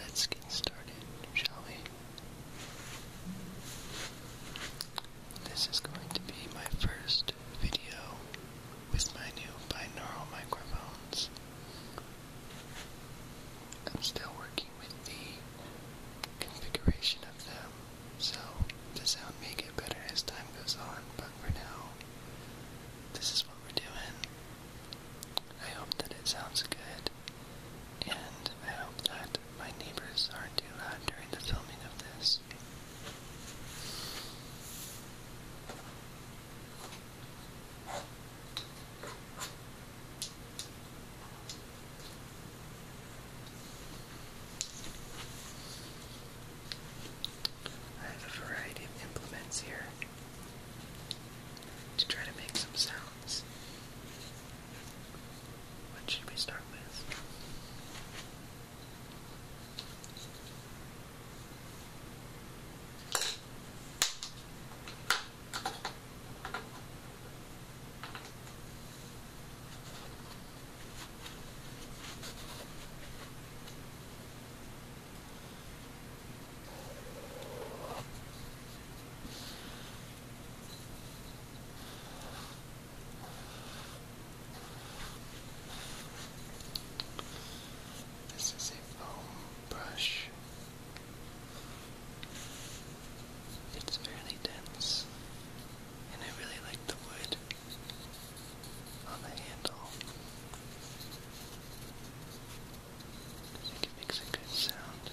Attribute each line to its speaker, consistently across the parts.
Speaker 1: Let's get started, shall we? This is going to be my first video with my new binaural microphones. I'm still working with the configuration of them, so the sound may get better as time goes on, but for now, this is what we're doing. I hope that it sounds good and I hope that my neighbors aren't too loud during the filming of this. I have a variety of implements here to try to make some sounds. What should we start with? This is a foam brush. It's fairly dense, and I really like the wood on the handle. it makes a good sound.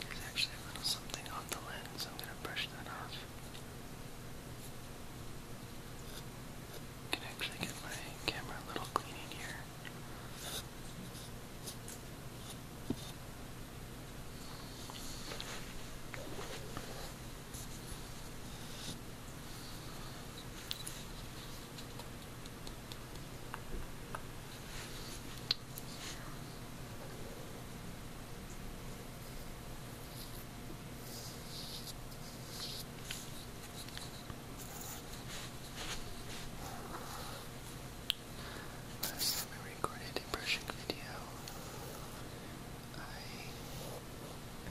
Speaker 1: There's actually a little something off the lens. I'm going to brush that off. I can actually get my camera a little cleaning here. Last time I recorded a brushing video, I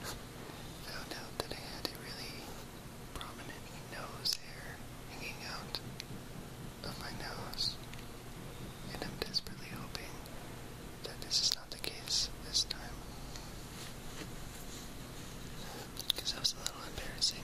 Speaker 1: found out that I had a really prominent nose hair hanging out of my nose. And I'm desperately hoping that this is not the case this time. Because that was a little embarrassing.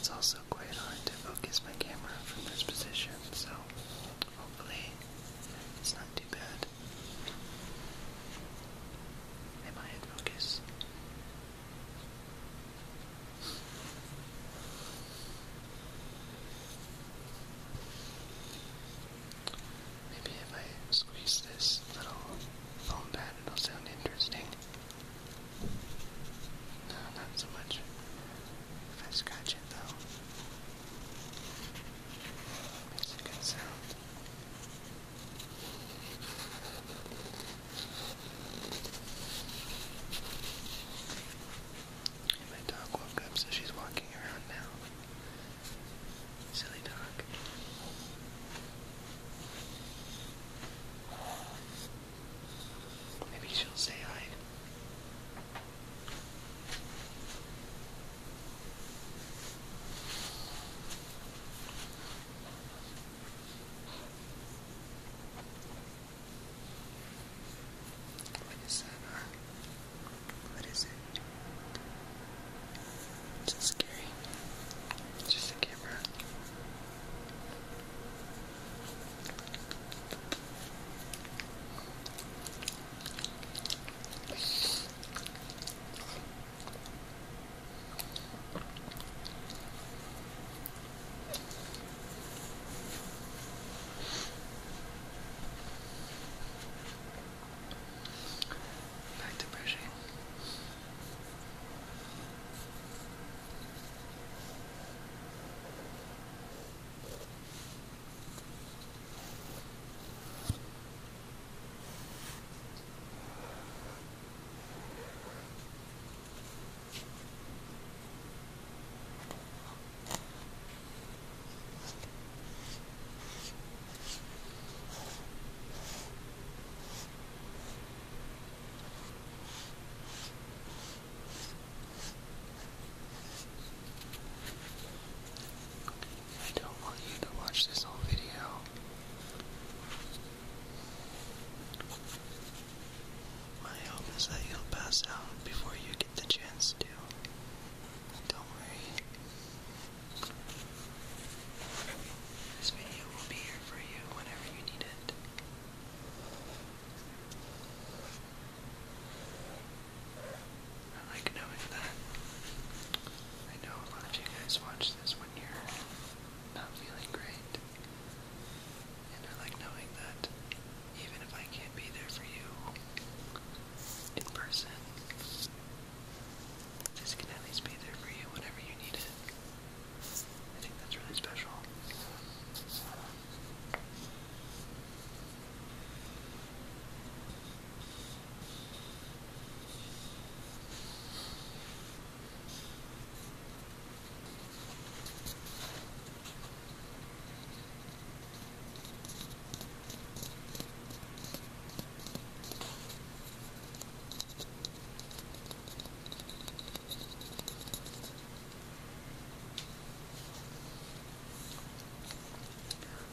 Speaker 1: It's also quite hard to focus my camera from this position, so hopefully it's not too bad. Am I in focus? Maybe if I squeeze this little foam pad, it'll sound interesting. No, not so much. If I scratch it though, it a good sound. my dog woke up, so she's walking around now. Silly dog. Maybe she'll say hi. What is that? What is it? It's scary. just a camera. Back to brushing. I don't want you to watch this whole video. My hope is that you'll pass out before you get the chance to. Don't worry, this video will be here for you whenever you need it. I like knowing that. I know a lot of you guys watch this when you're not feeling great. And I like knowing that even if I can't be there for you in person, this can at least be there for you whenever you need it. I think that's really special.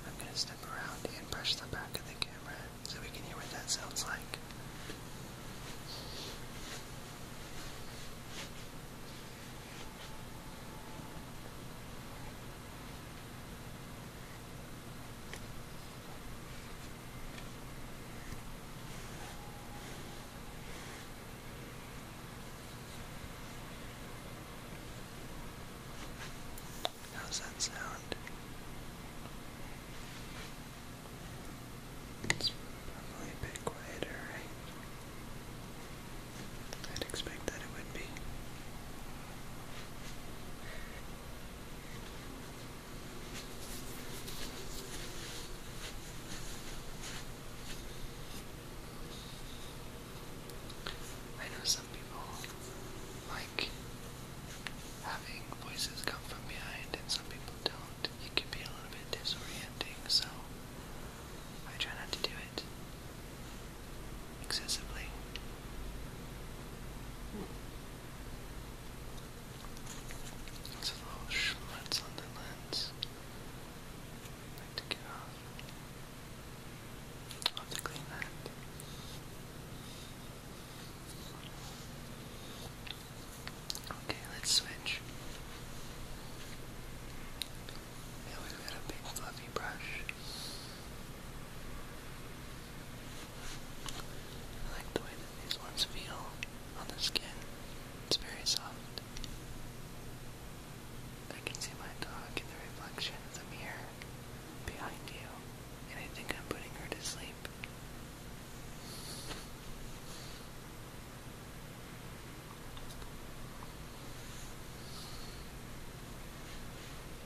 Speaker 1: I'm going to step around and brush the back of the camera so we can hear what that sounds like. How's that sound? It's probably a bit quieter, I'd expect that it would be. I know some people like having voices come from behind, and some people don't. It can be a little bit disorienting, so I try not to do it excessively. It's a little schmutz on the lens. I to get off. have to clean that. Okay, let's switch. Now we've got a big fluffy brush like the way that these ones feel on the skin. It's very soft. I can see my dog in the reflection of the mirror behind you, and I think I'm putting her to sleep.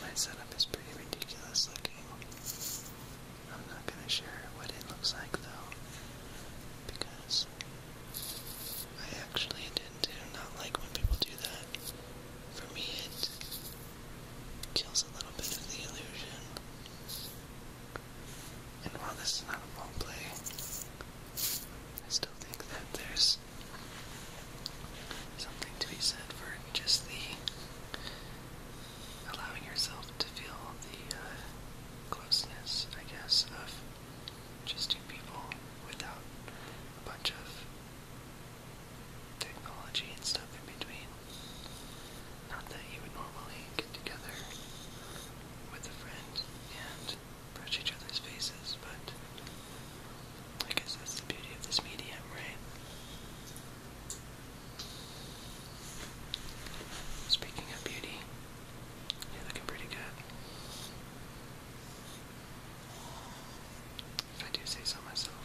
Speaker 1: My setup is pretty ridiculous looking. I'm not gonna share what it looks like though, because I actually didn't do not like when people do that. For me, it kills a little bit of the illusion. And while this is not a role play, I still think that there's something to be said for just the allowing yourself to feel the uh, closeness, I guess, of just two people without a bunch of technology and stuff in between. Not that you would normally get together with a friend and brush each other's faces, but I guess that's the beauty of this medium, right? Speaking of beauty, you're looking pretty good. If I do say so myself.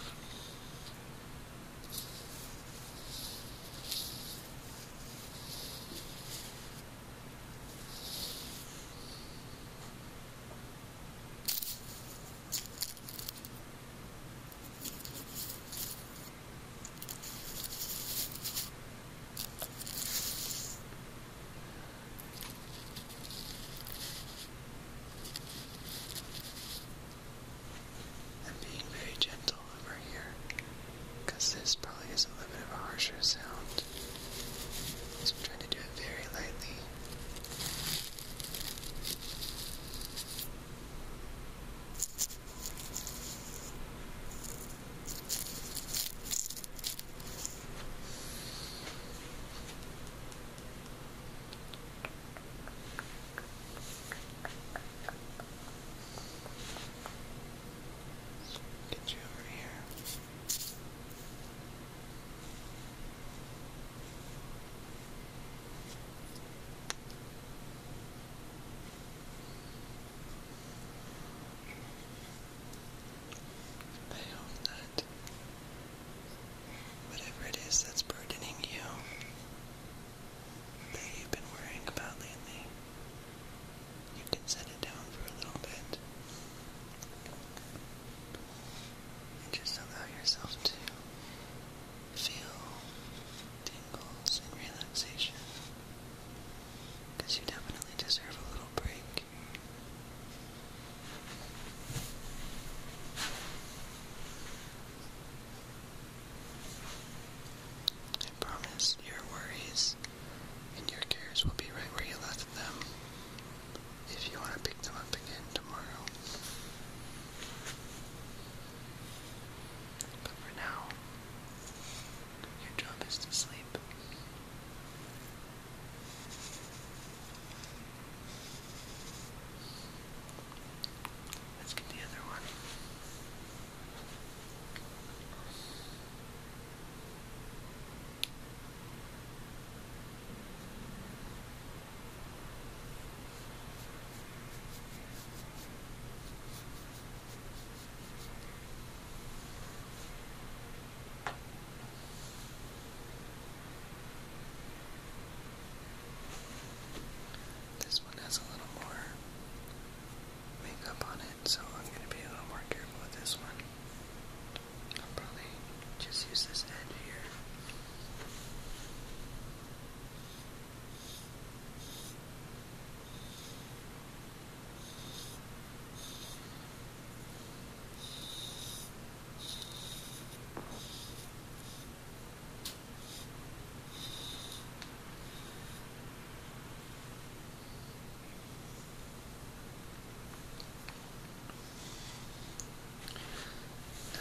Speaker 1: I'm being very gentle over here. Because this probably is a little bit of a harsher sound. So I'm trying to do it very lightly. Get you over I that whatever it is that's burdening you, that you've been worrying about lately, you can set it down for a little bit. And just allow yourself to feel tingles and relaxation. Because you definitely deserve a little break. I promise your worries and your cares will be right where you left them if you want to pick them up again tomorrow. But for now, your job is to sleep. Let's get the other one. This one has a little more makeup on it, so I'm going to be a little more careful with this one. I'll probably just use this edge here.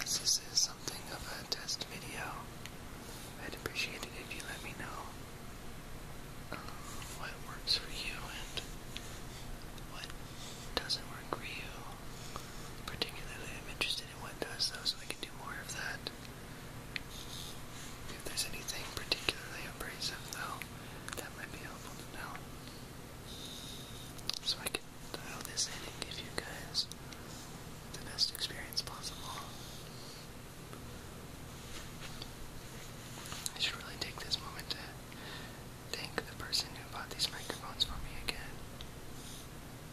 Speaker 1: As this is uh, something of a test video, I'd appreciate it if you let me know um, what works for you and what doesn't work for you. Particularly, I'm interested in what does, so I can do more of that. If there's anything particularly abrasive That might be helpful to know. So I can dial this in and give you guys the best experience possible. I should really take this moment to thank the person who bought these microphones for me again.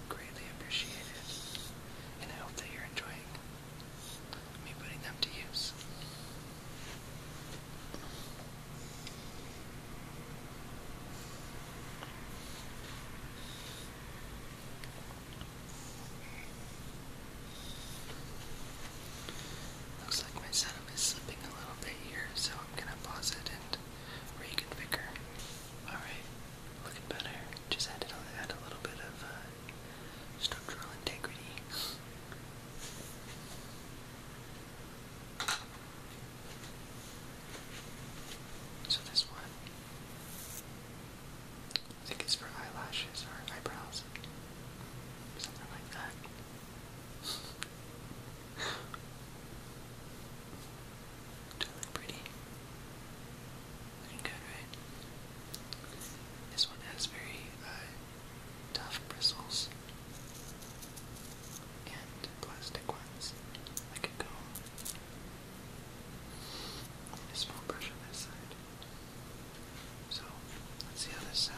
Speaker 1: Greatly appreciated. And I hope that you're enjoying Looks like my setup is slipping a little bit here, so I'm gonna pause it and reconfigure. Alright, looking better. Just added on add a little bit of uh, structural integrity. So this one, I think it's for eyelashes or eyebrows, something like that. Do pretty? Looking good, right? This one has very uh, tough bristles and plastic ones, like a comb. small brush on this side. So, let's see how this sounds.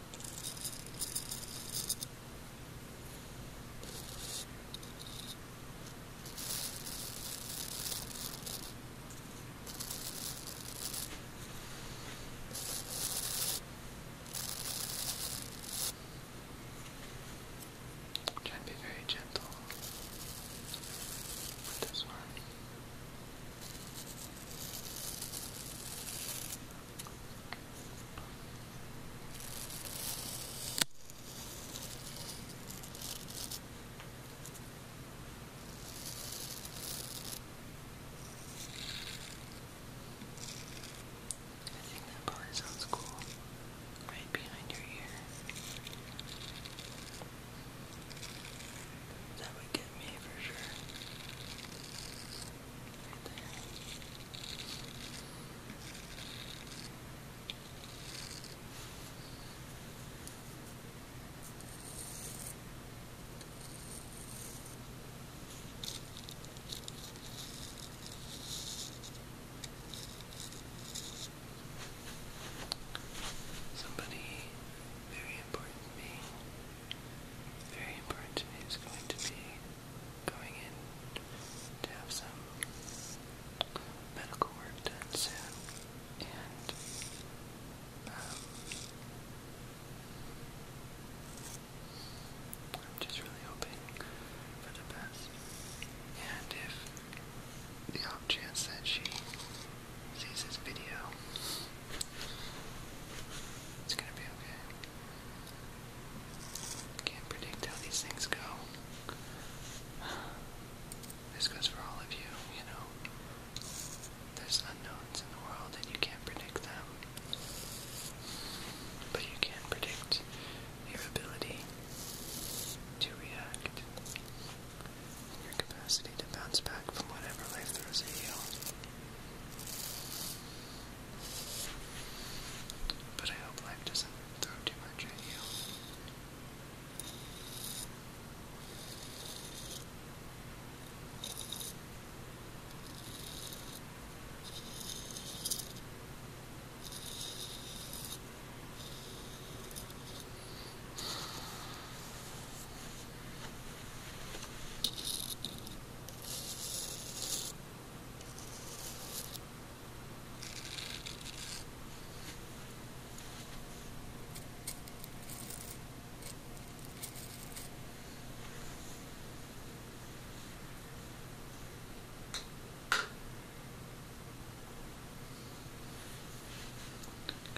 Speaker 1: Try to be very gentle with this one. I think that probably sounds cool. Right behind your ear. Is that would get me for sure. Right there. Somebody very important to me very important to me is going to be going in to have some medical work done soon, and um, I'm just really hoping for the best. And if the off chance that she sees this video, it's gonna be okay. Can't predict how these things go. This goes for all of you, you know. There's unknowns in the world and you can't predict them. But you can predict your ability to react and your capacity to bounce back from whatever life throws at you. But I hope life doesn't throw too much at you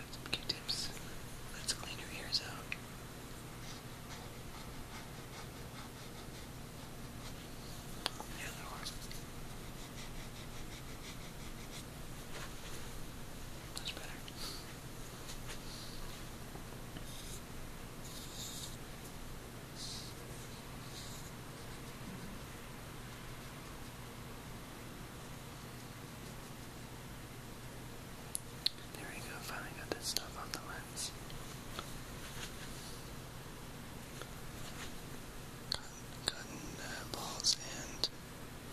Speaker 1: some Q-tips. Let's clean your ears out. Yeah, there was. That's better. There we go, finally got this stuff on the lens. Cotton uh, balls and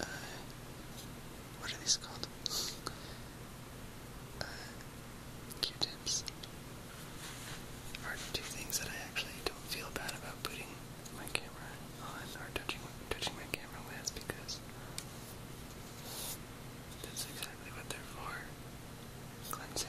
Speaker 1: uh, what are these called? Uh, Q-tips are two things that I actually don't feel bad about putting my camera on or touching touching my camera with because that's exactly what they're for. Cleansing.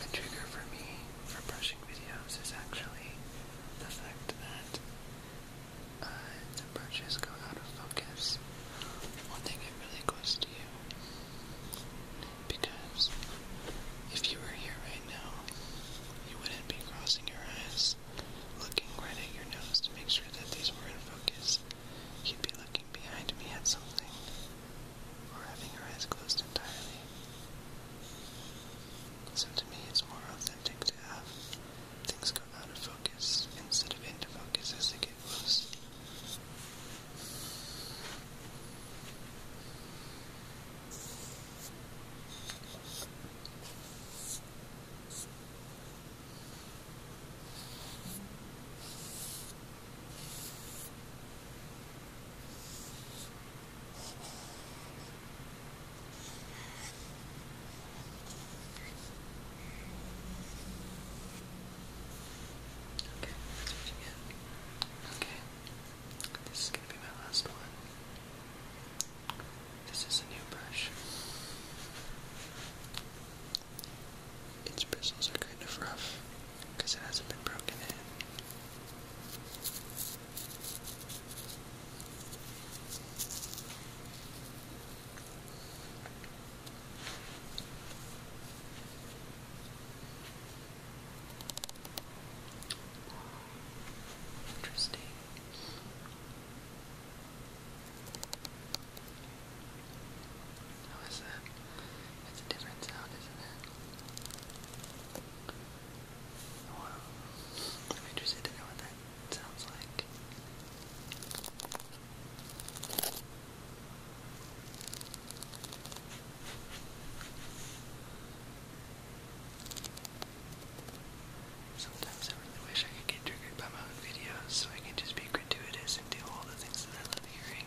Speaker 1: The trigger for me for brushing videos is actually the fact that uh, the brushes go out of focus one thing it really goes to you because if you were here right now you wouldn't be crossing your eyes looking right at your nose to make sure that these were in focus He'd be looking behind me at something, or having her eyes closed entirely. So to me, it's more authentic to have things go out of focus instead of into focus as they get close. Okay, this is going to be my last one. This is a new brush. Its bristles are kind of rough because it hasn't been broken in. Interesting. How oh, is that? It's a different sound, isn't it? Oh, wow. I'm interested to know what that sounds like. Sometimes I really wish I could get triggered by my own videos so I can just be gratuitous and do all the things that I love hearing.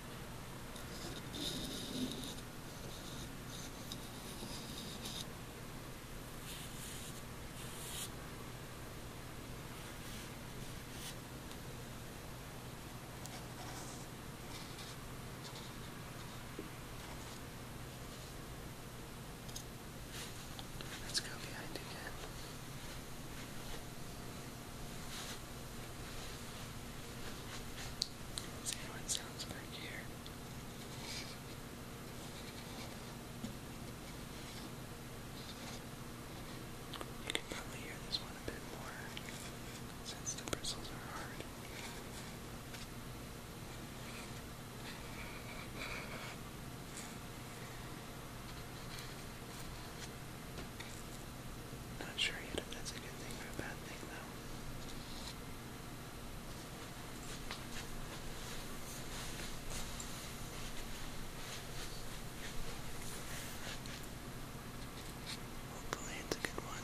Speaker 1: Let's go behind again. See how it sounds back here. You can probably hear this one a bit more since the bristles are hard. Not sure yet if that's a good thing or a bad thing, though. Hopefully, it's a good one.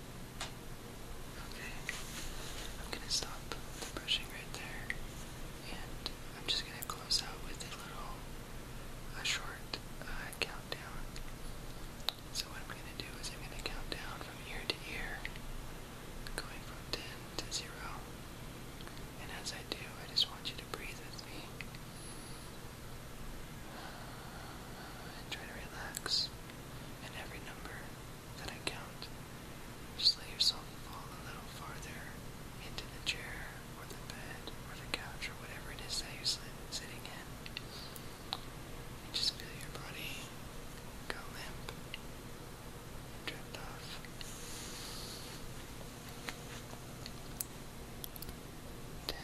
Speaker 1: Okay, I'm gonna stop the brushing right there, and I'm just gonna close out with a little, a short uh, countdown. So what I'm gonna do is I'm gonna count down from ear to ear, going from 10 to 0. And as I do, I just want you to breathe with me. And try to relax. And every number then I Just let yourself fall a little farther into the chair or the bed or the couch or whatever it is that you're sitting in. And just feel your body go limp and drift off. Ten